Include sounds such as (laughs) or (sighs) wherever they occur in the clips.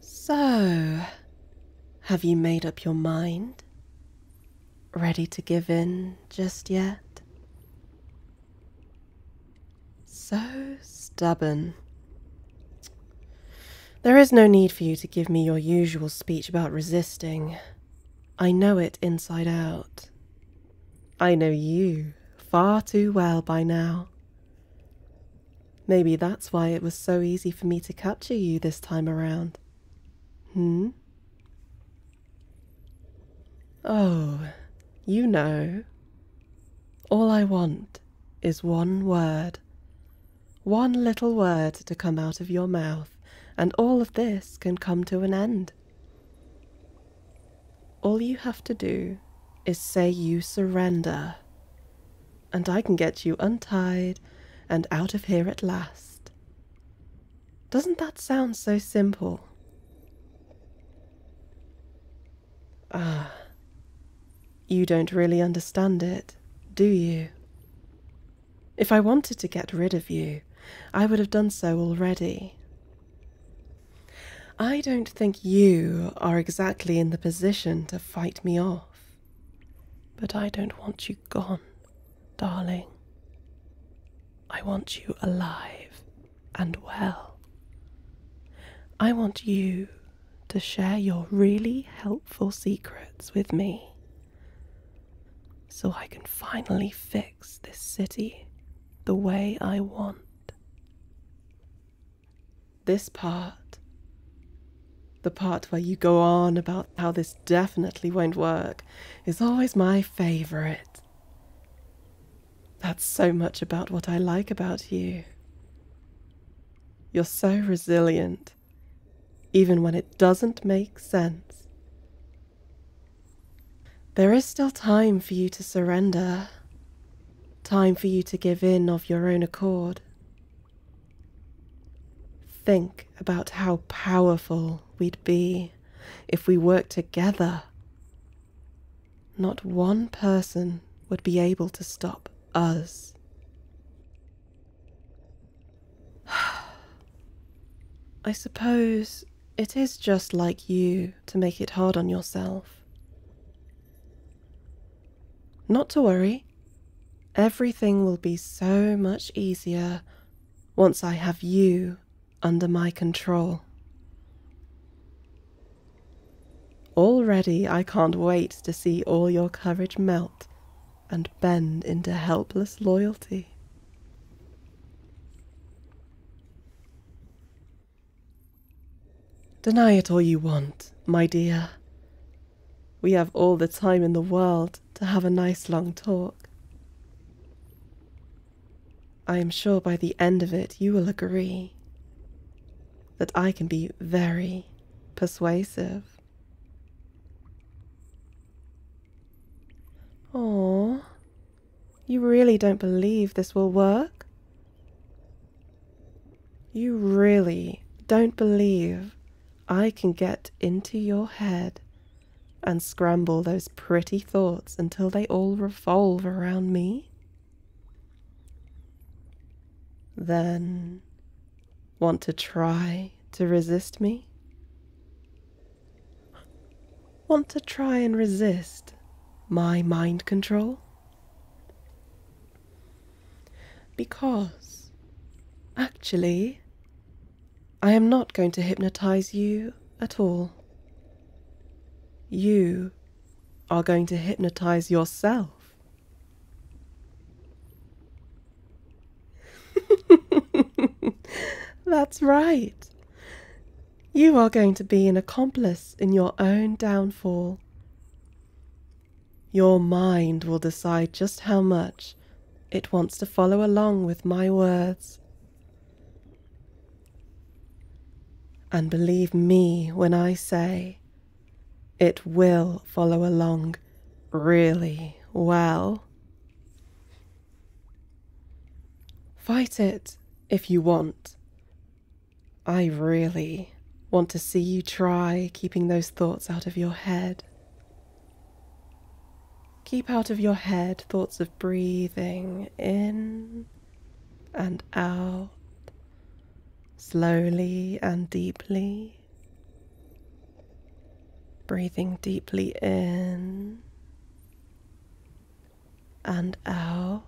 So, have you made up your mind? Ready to give in just yet? So stubborn. There is no need for you to give me your usual speech about resisting. I know it inside out. I know you far too well by now. Maybe that's why it was so easy for me to capture you this time around. Hmm? Oh, you know. All I want is one word. One little word to come out of your mouth, and all of this can come to an end. All you have to do is say you surrender, and I can get you untied and out of here at last. Doesn't that sound so simple? Ah, you don't really understand it, do you? If I wanted to get rid of you, I would have done so already. I don't think you are exactly in the position to fight me off. But I don't want you gone, darling. I want you alive and well. I want you to share your really helpful secrets with me so I can finally fix this city the way I want. This part. The part where you go on about how this definitely won't work is always my favorite. That's so much about what I like about you. You're so resilient, even when it doesn't make sense. There is still time for you to surrender. Time for you to give in of your own accord. Think about how powerful we'd be if we worked together. Not one person would be able to stop us. (sighs) I suppose it is just like you to make it hard on yourself. Not to worry. Everything will be so much easier once I have you under my control. Already I can't wait to see all your courage melt and bend into helpless loyalty. Deny it all you want, my dear. We have all the time in the world to have a nice long talk. I am sure by the end of it you will agree that I can be very persuasive. Oh, you really don't believe this will work? You really don't believe I can get into your head and scramble those pretty thoughts until they all revolve around me? Then want to try to resist me? Want to try and resist my mind control? Because, actually, I am not going to hypnotize you at all. You are going to hypnotize yourself. (laughs) That's right. You are going to be an accomplice in your own downfall. Your mind will decide just how much it wants to follow along with my words. And believe me when I say, it will follow along really well. Fight it if you want, I really want to see you try keeping those thoughts out of your head. Keep out of your head thoughts of breathing in and out, slowly and deeply. Breathing deeply in and out,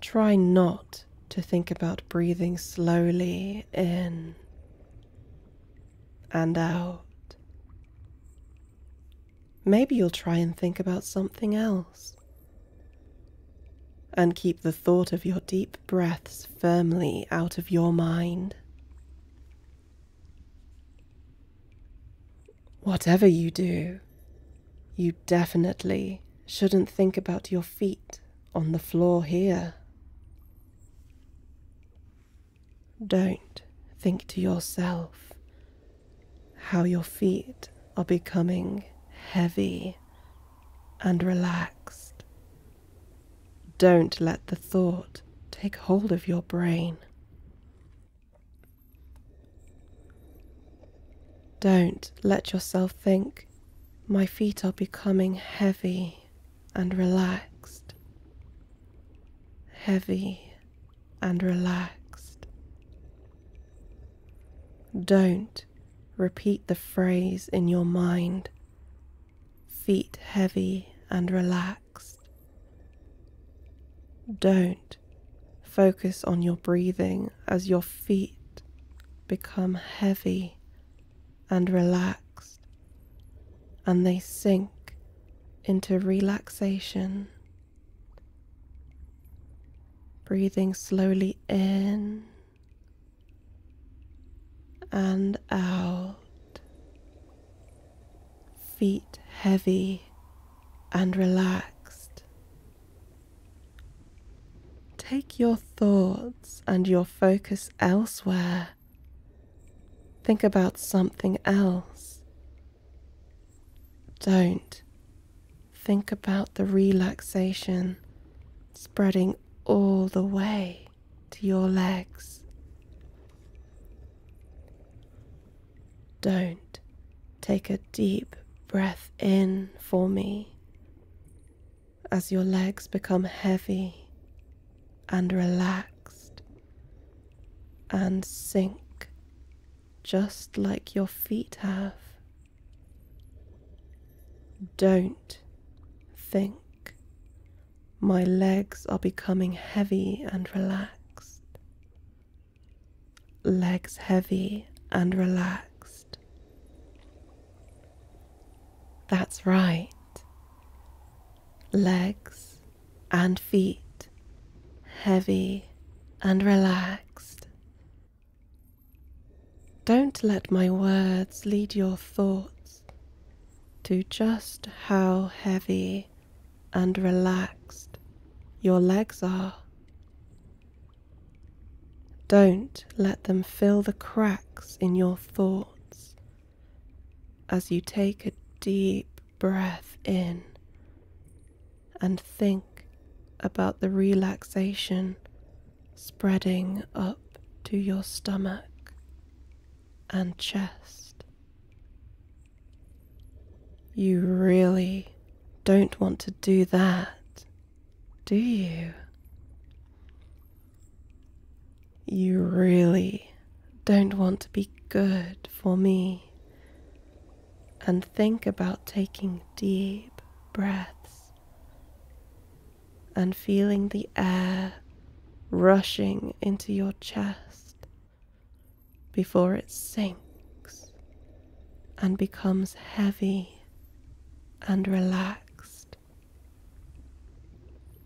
Try not to think about breathing slowly in and out. Maybe you'll try and think about something else. And keep the thought of your deep breaths firmly out of your mind. Whatever you do, you definitely shouldn't think about your feet on the floor here. Don't think to yourself how your feet are becoming heavy and relaxed. Don't let the thought take hold of your brain. Don't let yourself think, my feet are becoming heavy and relaxed. Heavy and relaxed. Don't repeat the phrase in your mind, feet heavy and relaxed. Don't focus on your breathing as your feet become heavy and relaxed, and they sink into relaxation. Breathing slowly in and out, feet heavy and relaxed. Take your thoughts and your focus elsewhere. Think about something else. Don't think about the relaxation spreading all the way to your legs. Don't take a deep breath in for me as your legs become heavy and relaxed and sink just like your feet have. Don't think my legs are becoming heavy and relaxed. Legs heavy and relaxed. That's right. Legs and feet heavy and relaxed. Don't let my words lead your thoughts to just how heavy and relaxed your legs are. Don't let them fill the cracks in your thoughts as you take a deep breath in and think about the relaxation spreading up to your stomach and chest. You really don't want to do that do you? You really don't want to be good for me. And think about taking deep breaths and feeling the air rushing into your chest before it sinks and becomes heavy and relaxed.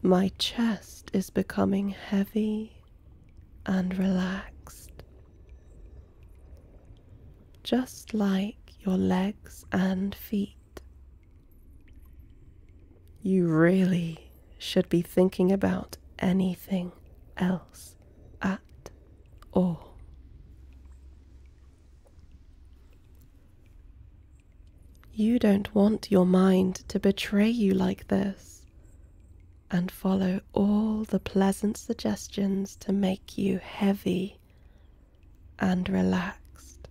My chest is becoming heavy and relaxed, just like your legs and feet. You really should be thinking about anything else at all. You don't want your mind to betray you like this and follow all the pleasant suggestions to make you heavy and relaxed.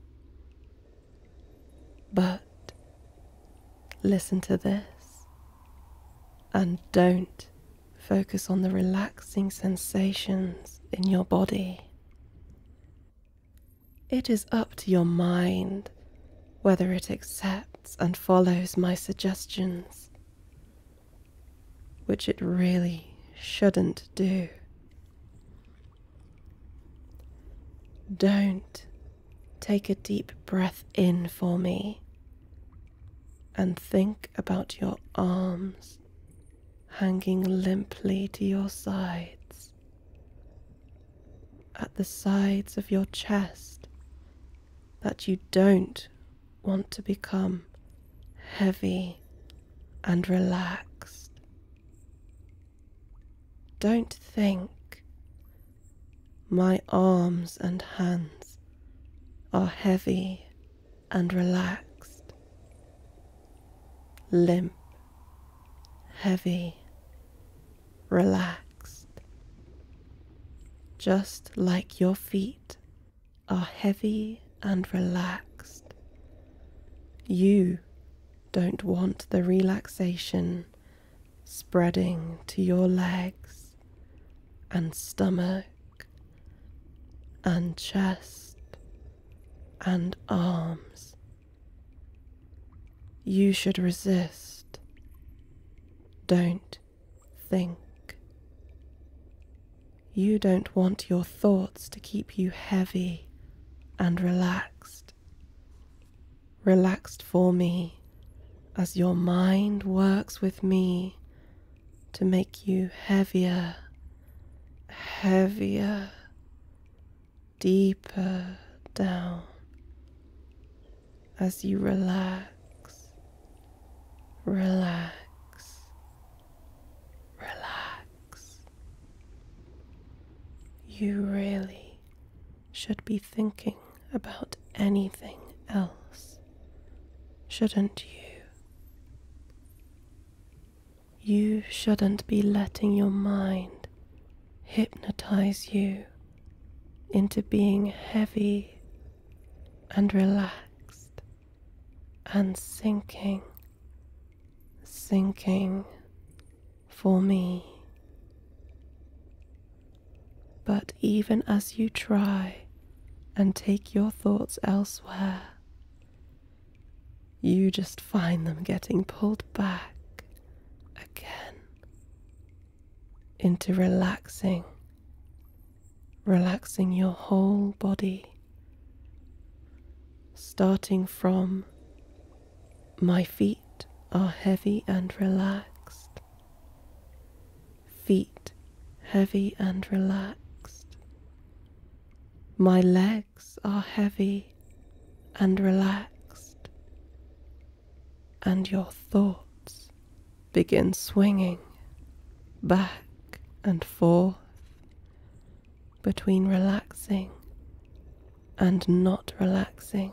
But listen to this and don't focus on the relaxing sensations in your body. It is up to your mind whether it accepts and follows my suggestions, which it really shouldn't do. Don't take a deep breath in for me and think about your arms hanging limply to your sides. At the sides of your chest, that you don't want to become heavy and relaxed. Don't think my arms and hands are heavy and relaxed limp, heavy, relaxed, just like your feet are heavy and relaxed. You don't want the relaxation spreading to your legs and stomach and chest and arms. You should resist. Don't think. You don't want your thoughts to keep you heavy and relaxed. Relaxed for me as your mind works with me to make you heavier, heavier, deeper down as you relax, relax. Relax. You really should be thinking about anything else, shouldn't you? You shouldn't be letting your mind hypnotize you into being heavy and relaxed and sinking, sinking for me. But even as you try and take your thoughts elsewhere, you just find them getting pulled back again into relaxing, relaxing your whole body, starting from my feet are heavy and relaxed, feet heavy and relaxed. My legs are heavy and relaxed, and your thoughts begin swinging back and forth between relaxing and not relaxing.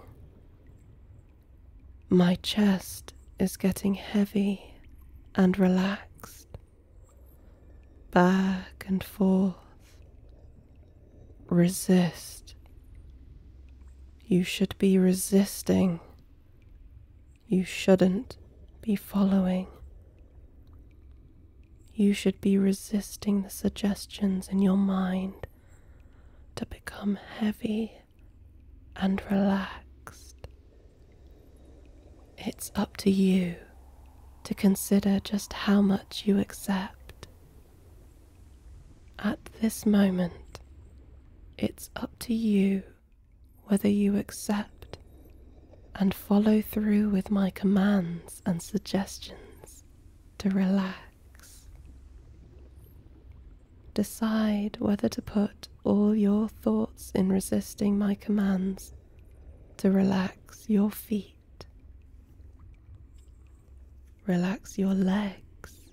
My chest is getting heavy and relaxed back and forth. Resist. You should be resisting. You shouldn't be following. You should be resisting the suggestions in your mind to become heavy and relaxed. It's up to you to consider just how much you accept. At this moment, it's up to you whether you accept and follow through with my commands and suggestions to relax. Decide whether to put all your thoughts in resisting my commands to relax your feet Relax your legs.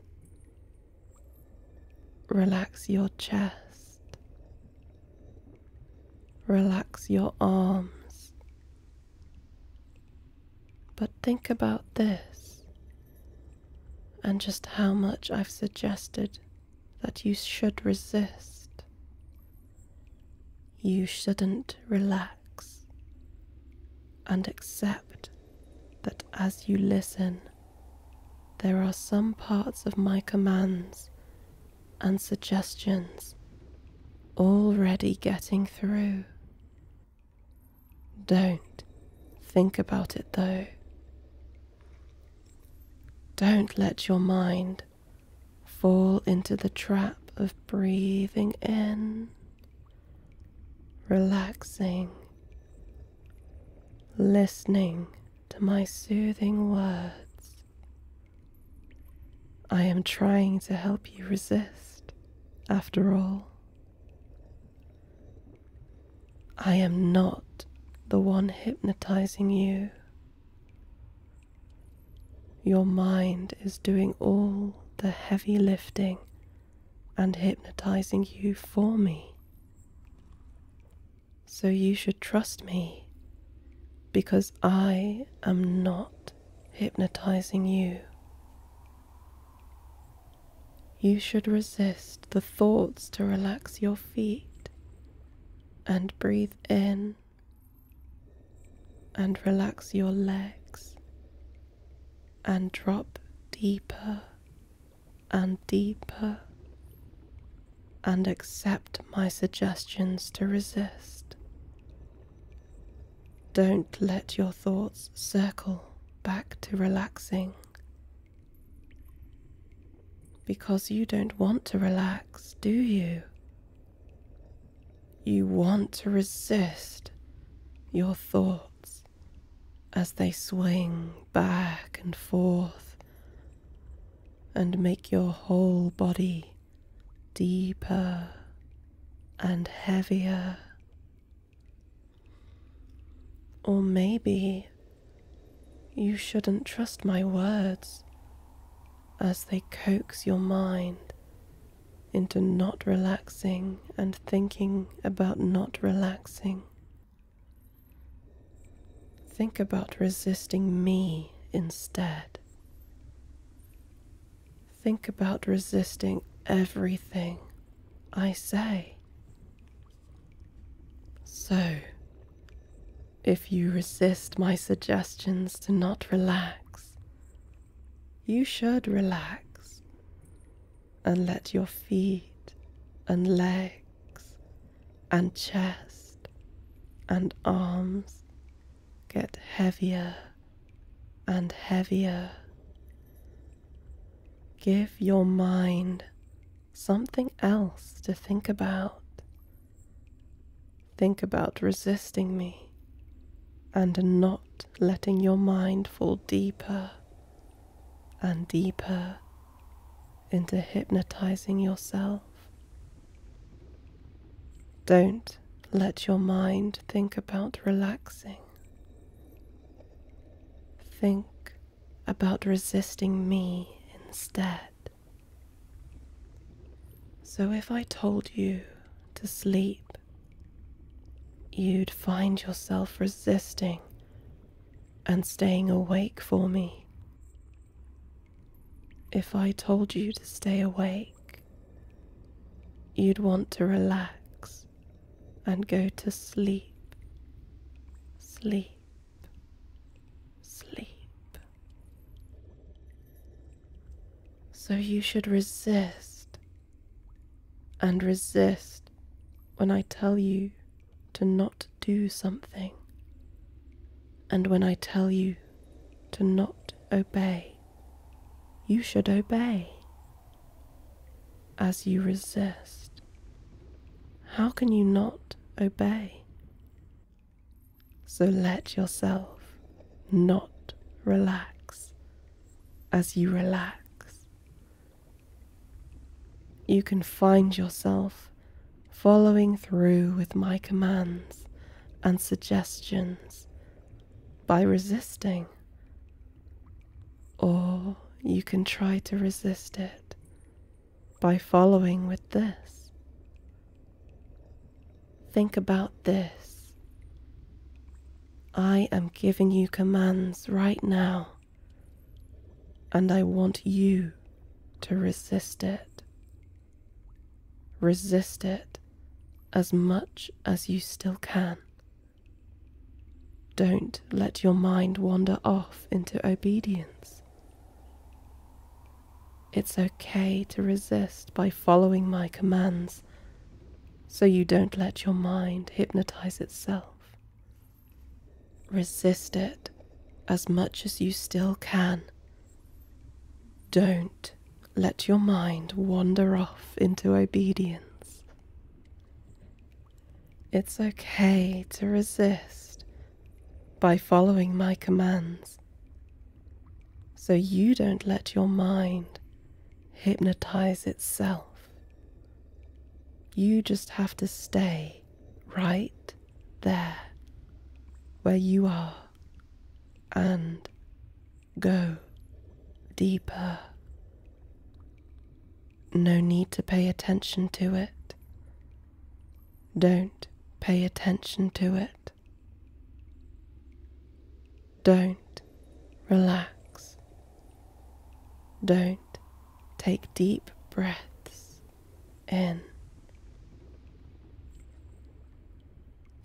Relax your chest. Relax your arms. But think about this and just how much I've suggested that you should resist you shouldn't relax and accept that as you listen, there are some parts of my commands and suggestions already getting through. Don't think about it though. Don't let your mind fall into the trap of breathing in, relaxing, listening to my soothing words. I am trying to help you resist, after all. I am not the one hypnotizing you. Your mind is doing all the heavy lifting and hypnotizing you for me. So you should trust me because I am not hypnotizing you. You should resist the thoughts to relax your feet and breathe in and relax your legs and drop deeper and deeper and accept my suggestions to resist. Don't let your thoughts circle back to relaxing because you don't want to relax, do you? You want to resist your thoughts as they swing back and forth and make your whole body deeper and heavier. Or maybe you shouldn't trust my words as they coax your mind into not relaxing and thinking about not relaxing. Think about resisting me instead. Think about resisting everything I say. So, if you resist my suggestions to not relax, you should relax and let your feet and legs and chest and arms get heavier and heavier. Give your mind something else to think about. Think about resisting me and not letting your mind fall deeper and deeper into hypnotizing yourself. Don't let your mind think about relaxing. Think about resisting me instead. So, if I told you to sleep, you'd find yourself resisting and staying awake for me. If I told you to stay awake, you'd want to relax and go to sleep, sleep, sleep. So you should resist and resist when I tell you to not do something and when I tell you to not obey. You should obey. As you resist, how can you not obey? So let yourself not relax as you relax. You can find yourself following through with my commands and suggestions by resisting, or you can try to resist it by following with this. Think about this. I am giving you commands right now, and I want you to resist it. Resist it as much as you still can. Don't let your mind wander off into obedience. It's okay to resist by following my commands, so you don't let your mind hypnotize itself. Resist it as much as you still can. Don't let your mind wander off into obedience. It's okay to resist by following my commands. So you don't let your mind hypnotize itself. You just have to stay right there where you are and go deeper. No need to pay attention to it. Don't pay attention to it. Don't relax. Don't take deep breaths in.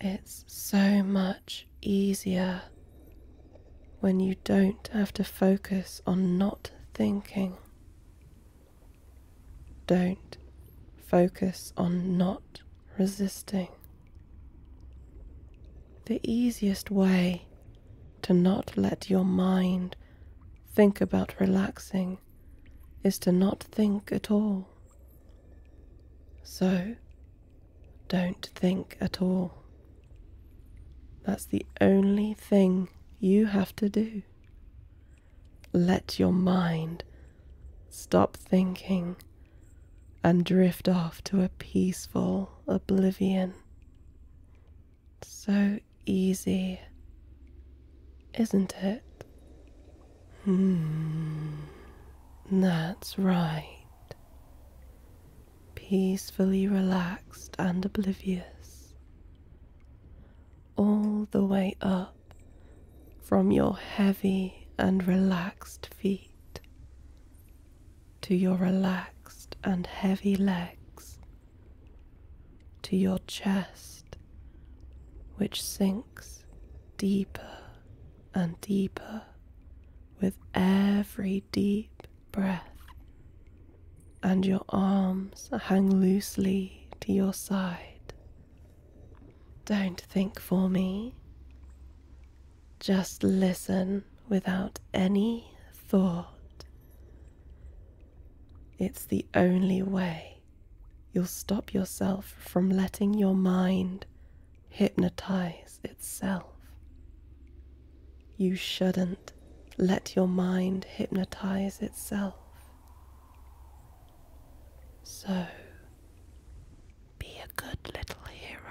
It's so much easier when you don't have to focus on not thinking. Don't focus on not resisting. The easiest way to not let your mind think about relaxing is to not think at all. So, don't think at all. That's the only thing you have to do. Let your mind stop thinking and drift off to a peaceful oblivion. So easy, isn't it? Hmm, that's right. Peacefully relaxed and oblivious, all the way up from your heavy and relaxed feet to your relaxed and heavy legs, to your chest, which sinks deeper and deeper with every deep breath. And your arms hang loosely to your side don't think for me. Just listen without any thought. It's the only way you'll stop yourself from letting your mind hypnotize itself. You shouldn't let your mind hypnotize itself. So, be a good little hero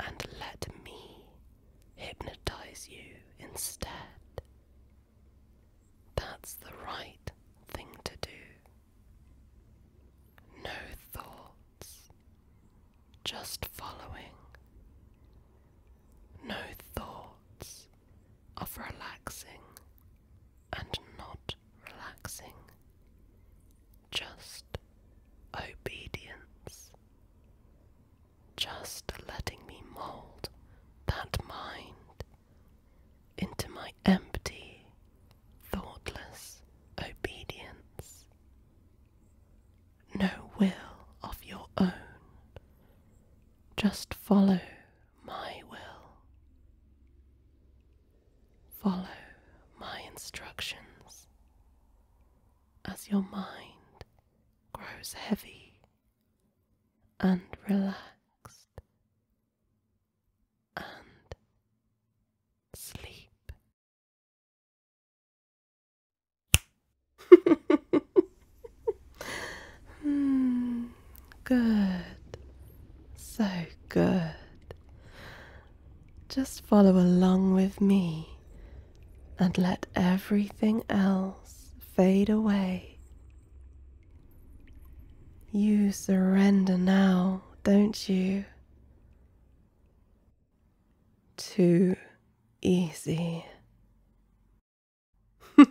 and let me hypnotize you instead. That's the right thing to do. No thoughts, just following. No thoughts of relaxing and not relaxing, just obedience, just letting me mould that mind into my empty, thoughtless obedience. No will of your own, just follow my will. Follow my instructions. As your mind grows heavy and relaxed and sleep. (laughs) mm, good, so good. Just follow along with me and let everything else fade away. You surrender now, don't you? Too easy. (laughs)